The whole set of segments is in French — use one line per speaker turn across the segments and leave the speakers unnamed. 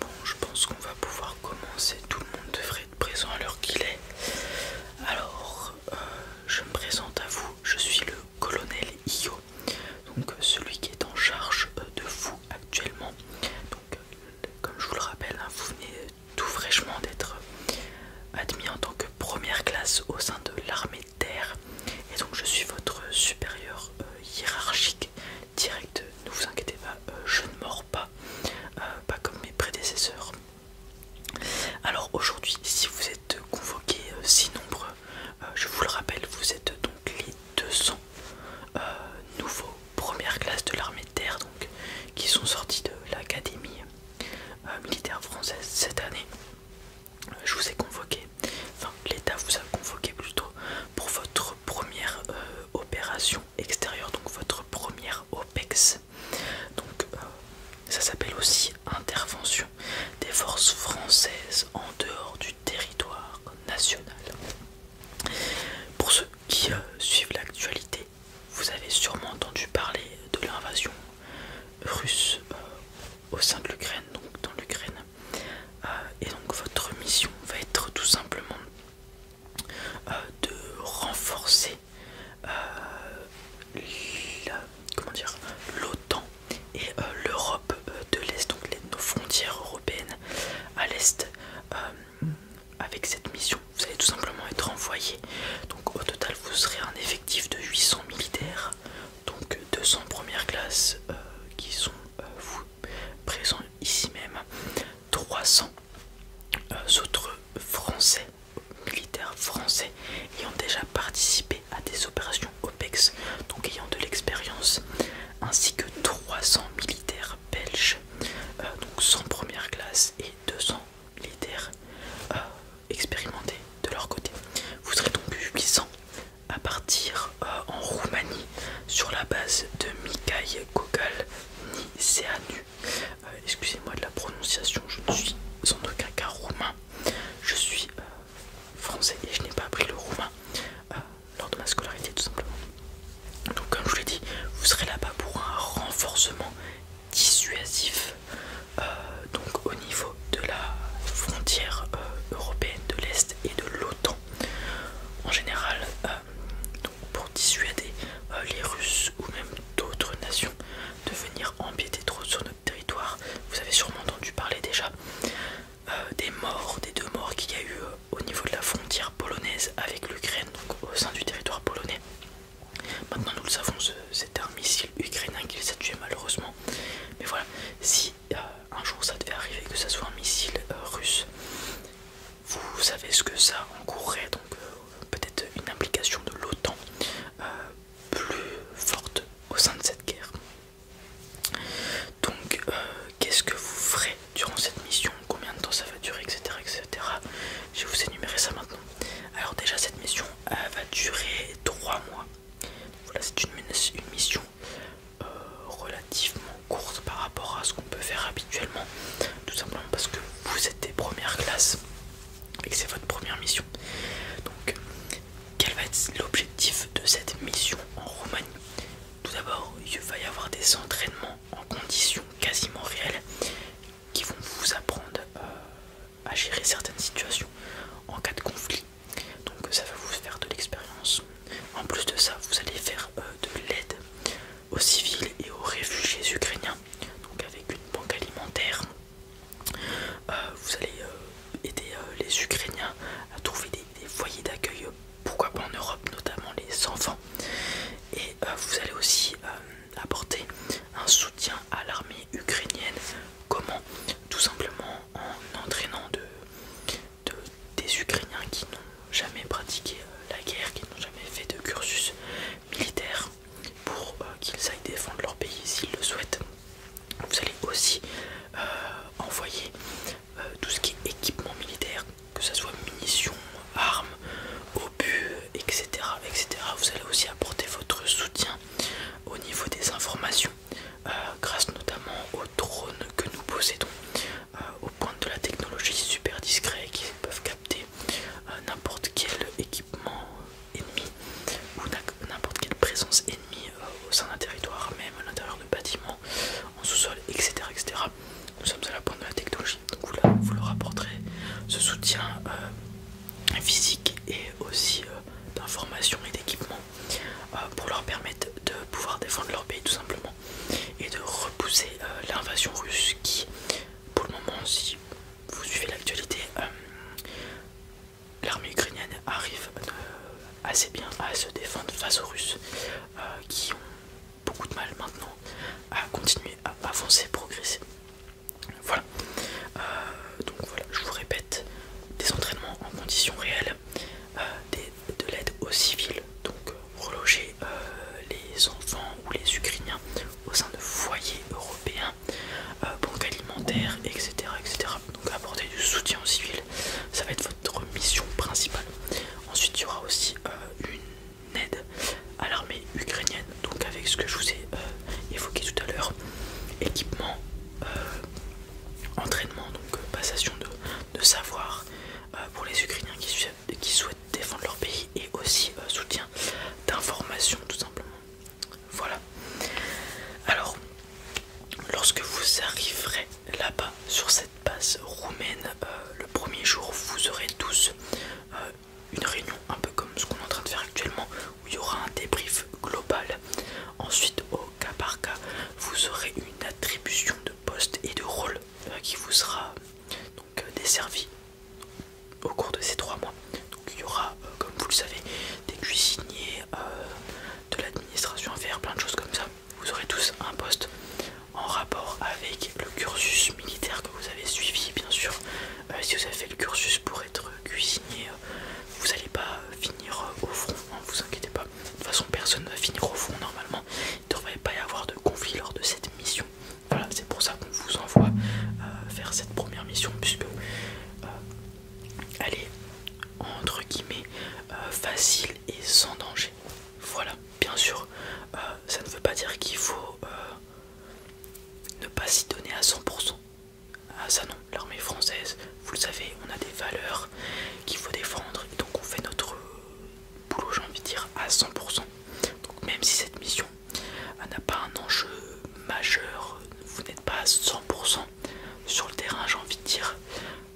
Bon, je pense qu'on va pouvoir commencer. Tout le monde devrait être présent à l'heure qu'il est. Alors, euh, je me présente à vous. Je suis le colonel Io, donc euh, celui qui est en charge euh, de vous actuellement. Donc, comme je vous le rappelle, hein, vous venez tout fraîchement d'être admis en tant que première classe au sein de l'armée de terre. Et donc, je suis votre supérieur hiérarchique, direct, ne vous inquiétez pas, euh, je ne mords pas, euh, pas comme mes prédécesseurs. Alors aujourd'hui, si vous êtes convoqués euh, si nombreux, je vous le rappelle, vous êtes donc les 200 nouveaux premières classes de l'armée de terre, donc qui sont sortis de l'académie militaire française cette année. Je vous ai convoqué, enfin l'État vous a convoqué plutôt pour votre première euh, opération extérieure, donc votre première OPEX. Donc euh, ça s'appelle aussi intervention des forces françaises en dehors du territoire national. Pour ceux qui euh, suivent l'actualité, vous avez sûrement entendu parler de l'invasion russe au sein de l'Ukraine, donc dans l'Ukraine. Euh, et donc votre mission va être tout simplement euh, de renforcer euh, l'OTAN et l'Europe de l'Est, donc nos frontières européennes à l'Est. avec cette mission, vous allez tout simplement être envoyé. Donc au total, vous serez un effectif de 800 militaires, donc 200 premières classes qui sont vous présente ici même 300 euh, autres français, militaires français, ayant déjà participé à des opérations OPEX, donc ayant de l'expérience, ainsi que 300 militaires belges, euh, donc sans première classe et 200 militaires euh, expérimentés de leur côté. Vous serez donc plus puissant à partir euh, en Roumanie sur la base de Mikhaï Gogol Niseanu euh, Excusez-moi de la prononciation, je ne suis en aucun cas roumain. Je suis euh, français et je n'ai pas appris le roumain lors de ma scolarité tout simplement. Donc comme je l'ai dit, vous serez là-bas pour un renforcement dissuasif. donc au niveau de la frontière euh, européenne de l'Est et de l'OTAN. En général, euh, pour dissuader euh, les Russes ou même d'autres nations de venir empiéter trop sur notre territoire, vous avez sûrement entendu parler déjà des morts, des deux morts qu'il y a eu au niveau de la frontière polonaise avec l'Ukraine, donc au sein du territoire polonais. Maintenant, nous le savons, c'est un missile ukrainien qui les a tués malheureusement. Mais voilà, si un jour ça devait arriver que ça soit un missile euh, russe. Vous savez ce que ça encourait, donc euh, peut-être une implication de l'OTAN euh, plus forte au sein de cette guerre. Donc, qu'est-ce que vous ferez durant cette mission Combien de temps ça va durer, etc. etc. Je vais vous énumérer ça maintenant. Alors déjà, cette mission elle va durer 3 mois. Voilà, c'est une mission euh, relativement courte par rapport à ce qu'on peut faire habituellement, tout simplement parce que vous êtes des premières classes et que c'est votre première mission. Donc, quel va être l'objectif de cette mission en Roumanie Tout d'abord, il va y avoir des entraînements en conditions quasiment réelles qui vont vous apprendre euh, à gérer certaines situations en cas de conflit donc ça va vous faire de l'expérience. En plus de ça, vous allez faire euh, de l'aide aux civils et aux réfugiés ukrainiens, donc avec une banque alimentaire. Euh, vous allez euh, aider les Ukrainiens à trouver des, foyers d'accueil, pourquoi pas en Europe, notamment les enfants. Et vous allez aussi apporter un soutien à l'armée ukrainienne. Comment Tout simplement en, euh, entraînant des Ukrainiens qui n'ont jamais pratiqué euh, la guerre, qui n'ont jamais fait de cursus militaire pour euh, qu'ils aillent défendre leur pays s'ils le souhaitent. Vous allez aussi envoyer tout ce qui est équipement militaire, que ce soit munitions, armes, obus, etc. Vous allez aussi apporter votre soutien au niveau des informations euh, grâce notamment aux drones que nous possédons, au euh, aux de la technologie super discrets qui peuvent capter euh, n'importe quel équipement ennemi ou n'importe quelle présence ennemie au sein d'un territoire, même à l'intérieur de bâtiments, en sous-sol, etc., etc. Nous sommes à la pointe de la technologie, donc vous, leur apporterez ce soutien physique et aussi euh, d'informations et d'équipements euh, pour leur permettre de pouvoir défendre leur pays tout simplement et de repousser euh, l'invasion russe qui pour le moment si vous suivez l'actualité l'armée ukrainienne arrive assez bien à se défendre face aux Russes qui ont beaucoup de mal maintenant à continuer à avancer, progresser. Voilà. Euh, donc voilà, je vous répète, des entraînements en conditions réelles, euh, de l'aide aux civils, donc euh, reloger les enfants ou les Ukrainiens au sein de foyers européens, banques alimentaires, etc., etc. Donc apporter du soutien aux civils, ça va être votre mission principale. Ensuite, il y aura aussi une aide à l'armée ukrainienne, donc avec ce que je vous ai évoqué tout à l'heure. Équipement, euh, entraînement, donc euh, passation de, savoir euh, pour les Ukrainiens qui, souhaitent défendre leur pays et aussi soutien d'information tout simplement. Voilà. Alors, lorsque vous arriverez là-bas sur cette base roumaine, le premier jour, vous aurez tous une réunion un peu comme ce qu'on est en train de faire actuellement où il y aura un débrief global. Ensuite, au cas par cas, vous aurez une attribution de poste et de rôle euh, qui vous sera donc euh, desservie au cours de ces trois mois. Donc il y aura, euh, comme vous le savez, des cuisiniers, de l'administration à faire, plein de choses comme ça. Vous aurez tous un poste en rapport avec le cursus militaire que vous avez suivi, bien sûr, euh, si vous avez fait le cursus pour être cuisinier, euh, vous n'allez pas finir euh, au fond. Hein, vous inquiétez pas. De toute façon, personne ne va finir au fond normalement. Il ne devrait pas y avoir de conflit lors de cette mission. Voilà, c'est pour ça qu'on vous envoie faire cette première mission, puisque elle est entre guillemets facile et sans danger. Voilà, bien sûr, ça ne veut pas dire qu'il faut. Ne pas s'y donner à 100%. Ah ça non, l'armée française, vous le savez, on a des valeurs qu'il faut défendre. donc on fait notre boulot, j'ai envie de dire, à 100%. Donc même si cette mission n'a pas un enjeu majeur, vous n'êtes pas à 100% sur le terrain, j'ai envie de dire.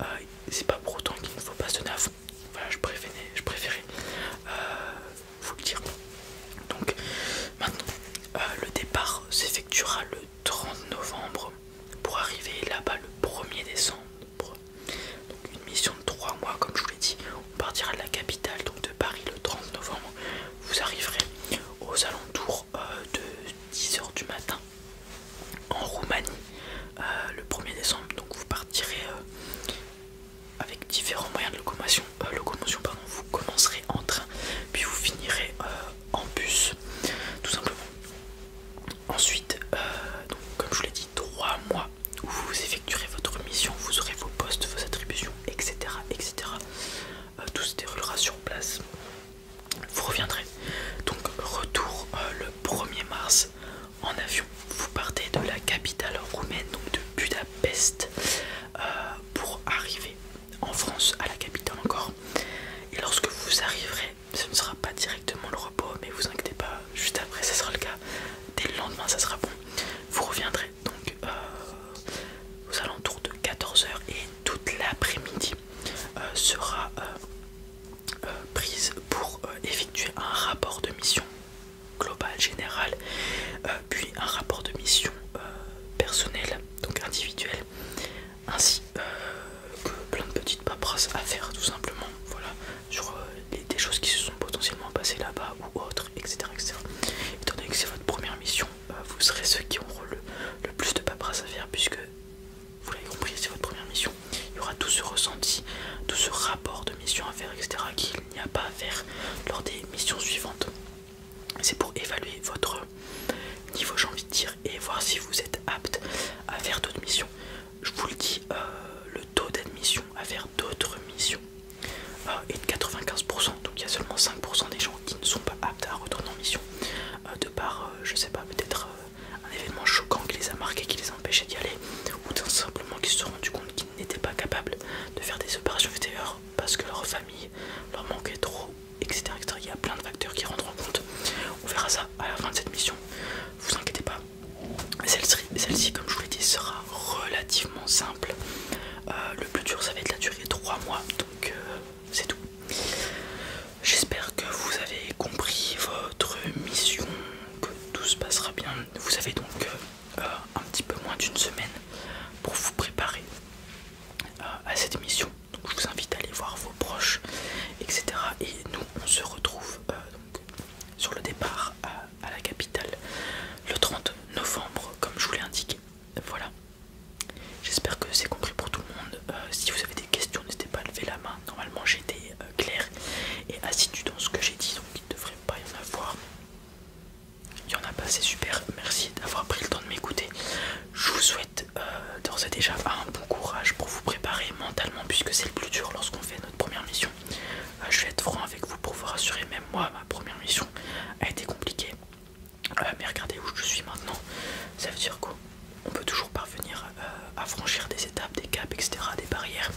Euh, c'est pas pour autant qu'il ne faut pas se donner Voilà, je préférais, euh, vous le dire. Donc maintenant, euh, le départ s'effectuera le 30 novembre pour arriver là-bas le 1er décembre. Donc une mission de 3 mois comme je vous l'ai dit. On partira de la capitale, donc de Paris le 30 novembre. Vous arriverez aux alentours euh, de 10h du matin en Roumanie euh, le 1er décembre. Donc vous partirez avec différents moyens de euh, locomotion, pardon, vous commencerez en train, puis vous finirez euh, en bus, tout simplement. Ensuite, euh, donc, comme je vous l'ai dit, trois mois où vous effectuerez votre mission, vous aurez vos postes, vos attributions, etc. etc. tout se déroulera sur place. Vous reviendrez. Donc retour le 1er mars en avion. Vous partez de la capitale roumaine, donc de Budapest euh, pour arriver en France, à la capitale encore. Et lorsque vous arriverez, ce ne sera pas directement le repos, mais vous inquiétez pas, juste après ce sera le cas. Dès le lendemain, ça sera bon. Vous reviendrez donc euh, aux alentours de 14h et toute l'après-midi euh, sera prise pour effectuer un rapport de mission global, général, euh, puis un rapport de mission euh, personnel, donc individuel, ainsi euh, que plein de petites paperasses à faire tout simplement, voilà, sur des choses qui se sont potentiellement passées là-bas ou autres, etc., etc. Étant donné que c'est votre première mission, vous serez ceux qui auront le, plus de paperasses à faire puisque vous l'avez compris, c'est votre première mission. Il y aura tout ce ressenti, tout ce rapport de mission à faire, etc n'y a pas à faire lors des missions suivantes. C'est pour évaluer votre niveau, j'ai envie de dire, et voir si vous êtes apte à faire d'autres missions. Je vous le dis, euh, le taux d'admission à faire d'autres missions euh, est de 95%, donc il y a seulement 5% des gens qui ne sont pas aptes à retourner en mission, euh, de par, je sais pas, peut-être un événement choquant qui les a marqués, qui les a empêchés d'y aller, ou simplement qu'ils se sont rendus compte qu'ils n'étaient pas capables de faire des opérations extérieures parce que leur famille leur manquait trop, etc., etc. Il y a plein de facteurs qui rentrent compte. On verra ça à la fin de cette mission. Vous inquiétez pas. Celle-ci, comme je vous l'ai dit, sera relativement simple. Euh, le plus dur, ça va être la durée 3 mois, donc euh, c'est tout. J'espère que vous avez compris votre mission, que tout se passera bien. Vous avez donc euh, euh, un petit peu moins d'une semaine pour vous préparer euh, à cette émission. je vous invite à aller voir vos proches, etc. Et nous, on se retrouve euh, donc, sur le départ à, la capitale le 30 novembre, comme je vous l'ai indiqué. Voilà. J'espère que c'est compris pour tout le monde. si vous avez des questions, n'hésitez pas à lever la main. Normalement, j'étais clair et assidu dans ce que j'ai dit devrait pas y en avoir. Il y en a pas, c'est super. Merci d'avoir pris le temps de m'écouter. Je vous souhaite euh, d'ores et déjà un bon courage pour vous préparer mentalement, puisque c'est le plus dur lorsqu'on fait notre première mission. Euh, je vais être franc avec vous pour vous rassurer, même moi, ma première mission a été compliquée. Euh, mais regardez où je suis maintenant. Ça veut dire qu'on peut toujours parvenir à franchir des étapes, des caps, etc., des barrières.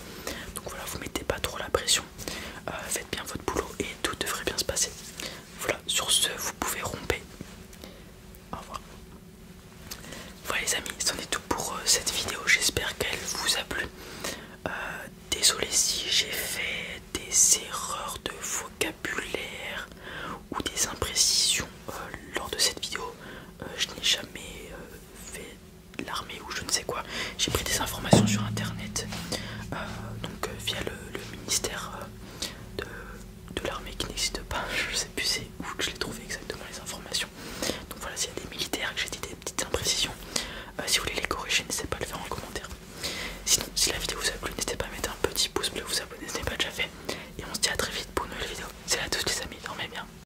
Donc voilà, vous mettez pas trop la pression, euh, faites bien votre boulot et tout devrait bien se passer. Voilà, sur ce, vous pouvez romper. Au revoir. Voilà les amis, c'en est tout pour euh, cette vidéo, j'espère qu'elle vous a plu. Euh, désolé si j'ai fait des erreurs de vocabulaire ou des imprécisions lors de cette vidéo. je n'ai jamais fait l'armée ou je ne sais quoi. J'ai pris des informations sur internet, euh, donc euh, via le, ministère euh, de, l'armée qui n'existe pas. Je ne sais plus c'est où que je l'ai trouvé exactement les informations. Donc voilà, s'il y a des militaires que j'ai dit des petites imprécisions, si vous voulez les corriger, n'hésitez pas à le faire en commentaire. Sinon, si la vidéo vous a plu, n'hésitez pas à mettre un petit pouce bleu, vous abonner si ce n'est pas déjà fait. Et on se dit à très vite pour une nouvelle vidéo. C'est à tous les amis, dormez bien.